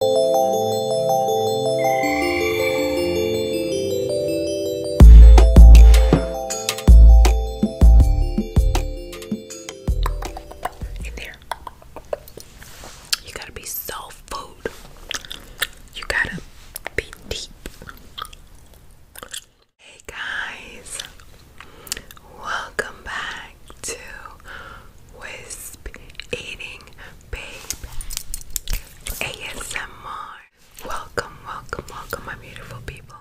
In there, you gotta be soft food. You gotta be deep. Hey guys, welcome back to Wisp Eating babe ASMR. Welcome, welcome, welcome, my beautiful people.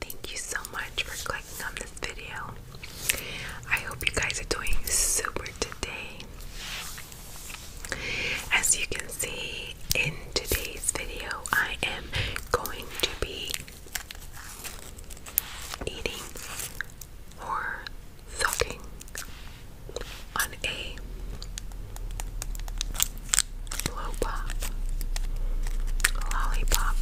Thank you so much for clicking on this video. I hope you guys are doing super today. As you can see in today's video, I am going to be eating thugging on a lollipop.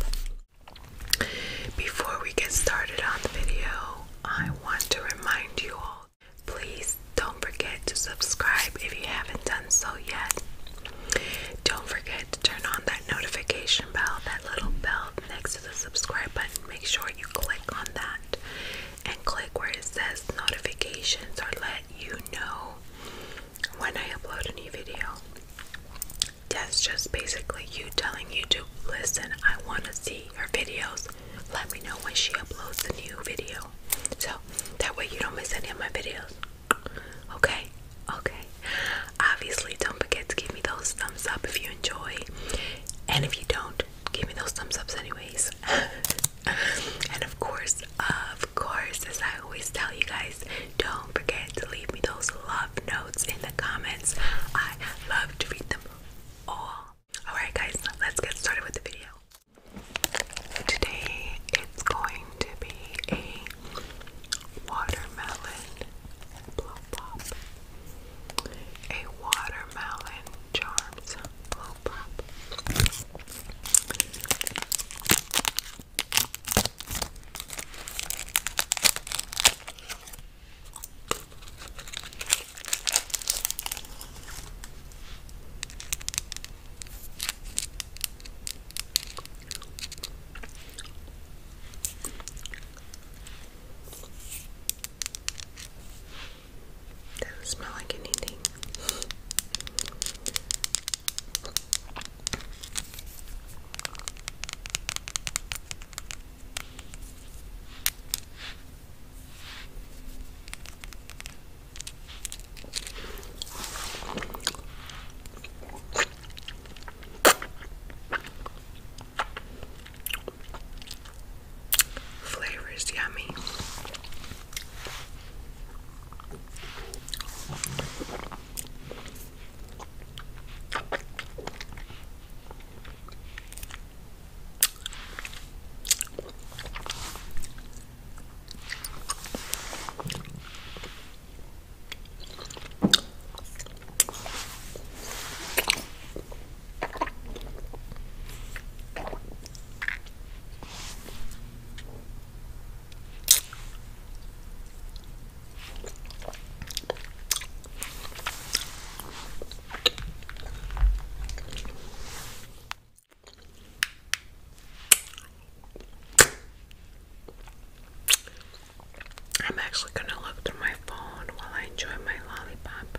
Before we get started on the video, I want to remind you all please don't forget to subscribe if you haven't done so yet. Don't forget to turn on that notification bell, that little bell next to the subscribe button. Make sure you click on that and click where it says notifications or let you know when I upload a new video. That's just basically you telling YouTube, listen, I want to see her videos. Let me know when she uploads a new video. So that way you don't miss any of my videos. Okay? Okay. Obviously, don't forget to give me those thumbs up if you enjoy. And if you don't, give me those thumbs ups anyways and of course of course as i always tell you guys don't forget to leave me those love notes in the comments i love to read them all all right guys let's get started with the video today it's going to be a watermelon blow pop a watermelon charms blow doesn't smell like anything. Flavor is yummy. I'm actually going to look through my phone while I enjoy my lollipop.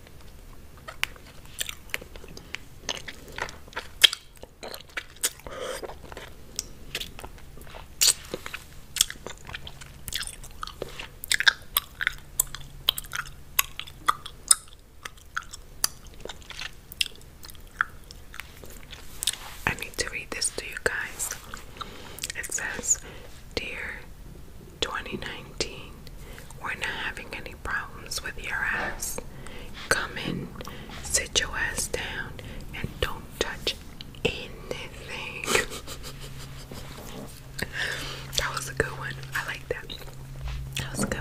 I need to read this to you guys. It says, Dear 2019. We're not having any problems with your ass. Come in, sit your ass down, and don't touch anything. that was a good one. I like that. That was good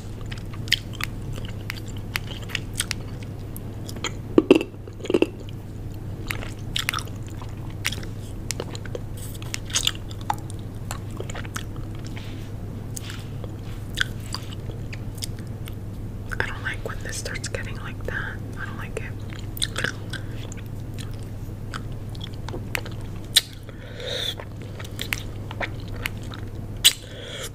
I don't like when this starts getting like that. I don't like it.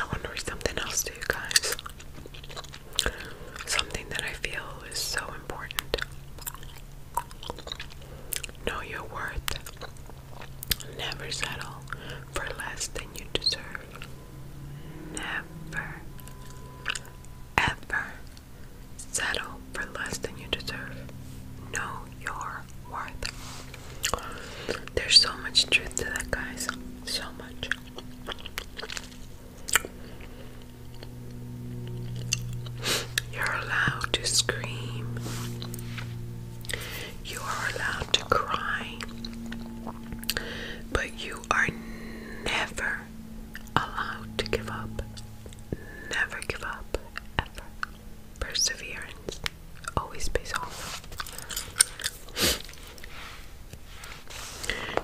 I wonder if something else to you guys something that I feel is so important. Know your worth. Never settle for less than you deserve. Never, ever settle for less than you deserve. Know your worth. There's so much truth to that, guys. So much. You're allowed to scream. You are allowed to cry. But you are never allowed to give up. Never give up, ever. Perseverance always pays off.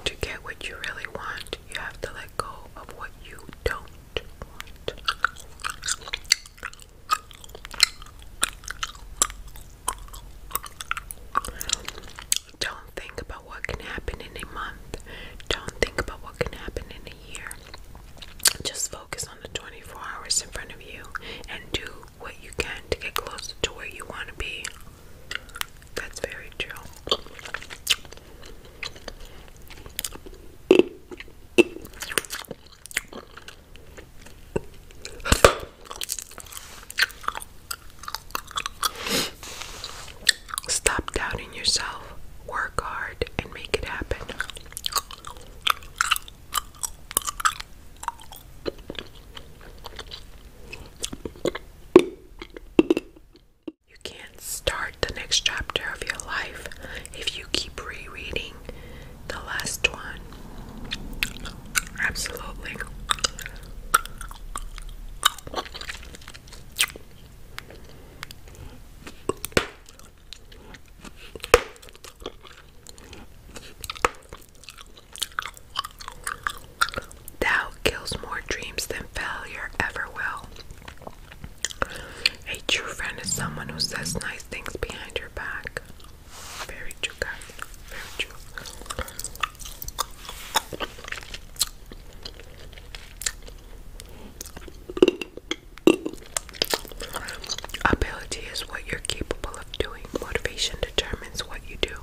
To get what you really want, you have to let go of what you don't want. Don't think about what can happen in a month. Don't think about what can happen in a year. Just focus on the 24 hours in front of you and do what you can to get closer to where you want to be. That's very true. Stop doubting yourself, work hard, and make it happen. You can't start the next chapter of your life if you keep rereading the last one. Absolutely. Doubt kills more dreams than failure ever will. A true friend is someone who says nice things behind your back. Very true, guys. Very true. Ability is what you're capable of doing. Motivation determines what you do.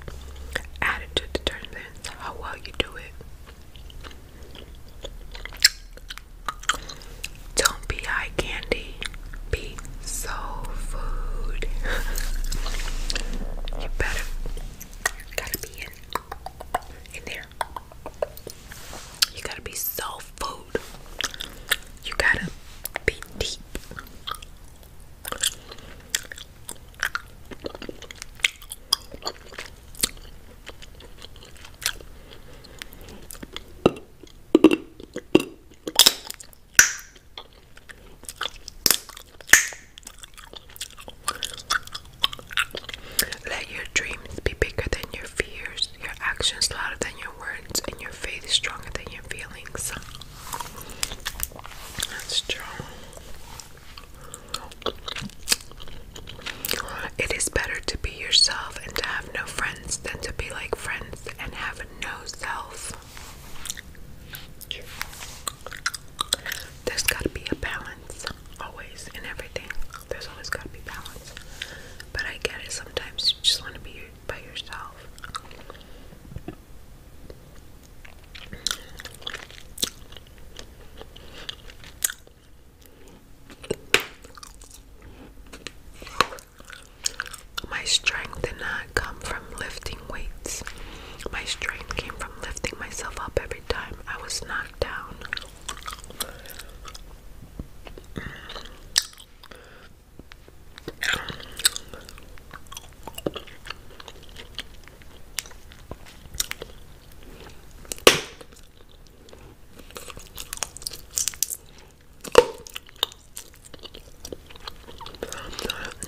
Attitude determines how well you do it. Don't be eye candy, be soul food. you better gotta be in in there. You gotta be soul food. You gotta be deep. Let your dreams be bigger than your fears, your actions louder than your words, and your faith stronger than your feelings. That's true. It is better to be yourself and to have no friends than to be like friends and have no self. There's got to be a balance, always, in everything. There's always got to be balance. But I get it, sometimes you just want to be by yourself. My strength did not come from lifting weights. My strength came from lifting myself up every time I was knocked down.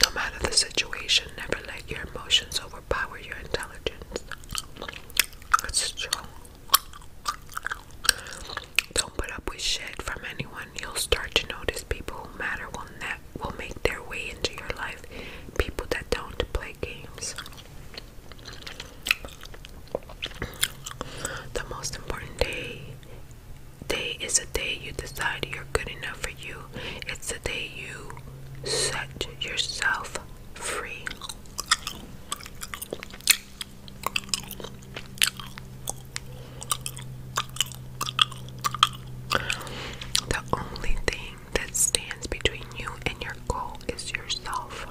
No matter the situation, never let your emotions overpower your intelligence. That's true. Don't put up with shit from anyone. You'll start to notice people who matter will, ne will make their way into your life. People that don't play games. The most important day day is a day you decide you're good enough for you. It's the day you set yourself free. The only thing that stands between you and your goal is yourself.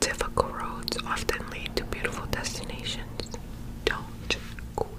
Difficult roads often lead to beautiful destinations. Don't quit.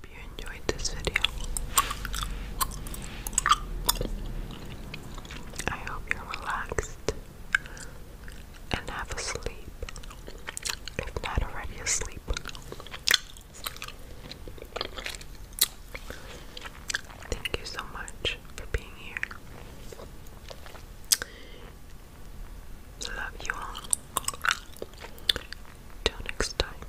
hope you enjoyed this video. I hope you're relaxed and have a sleep, if not already asleep. Thank you so much for being here. Love you all. Till next time.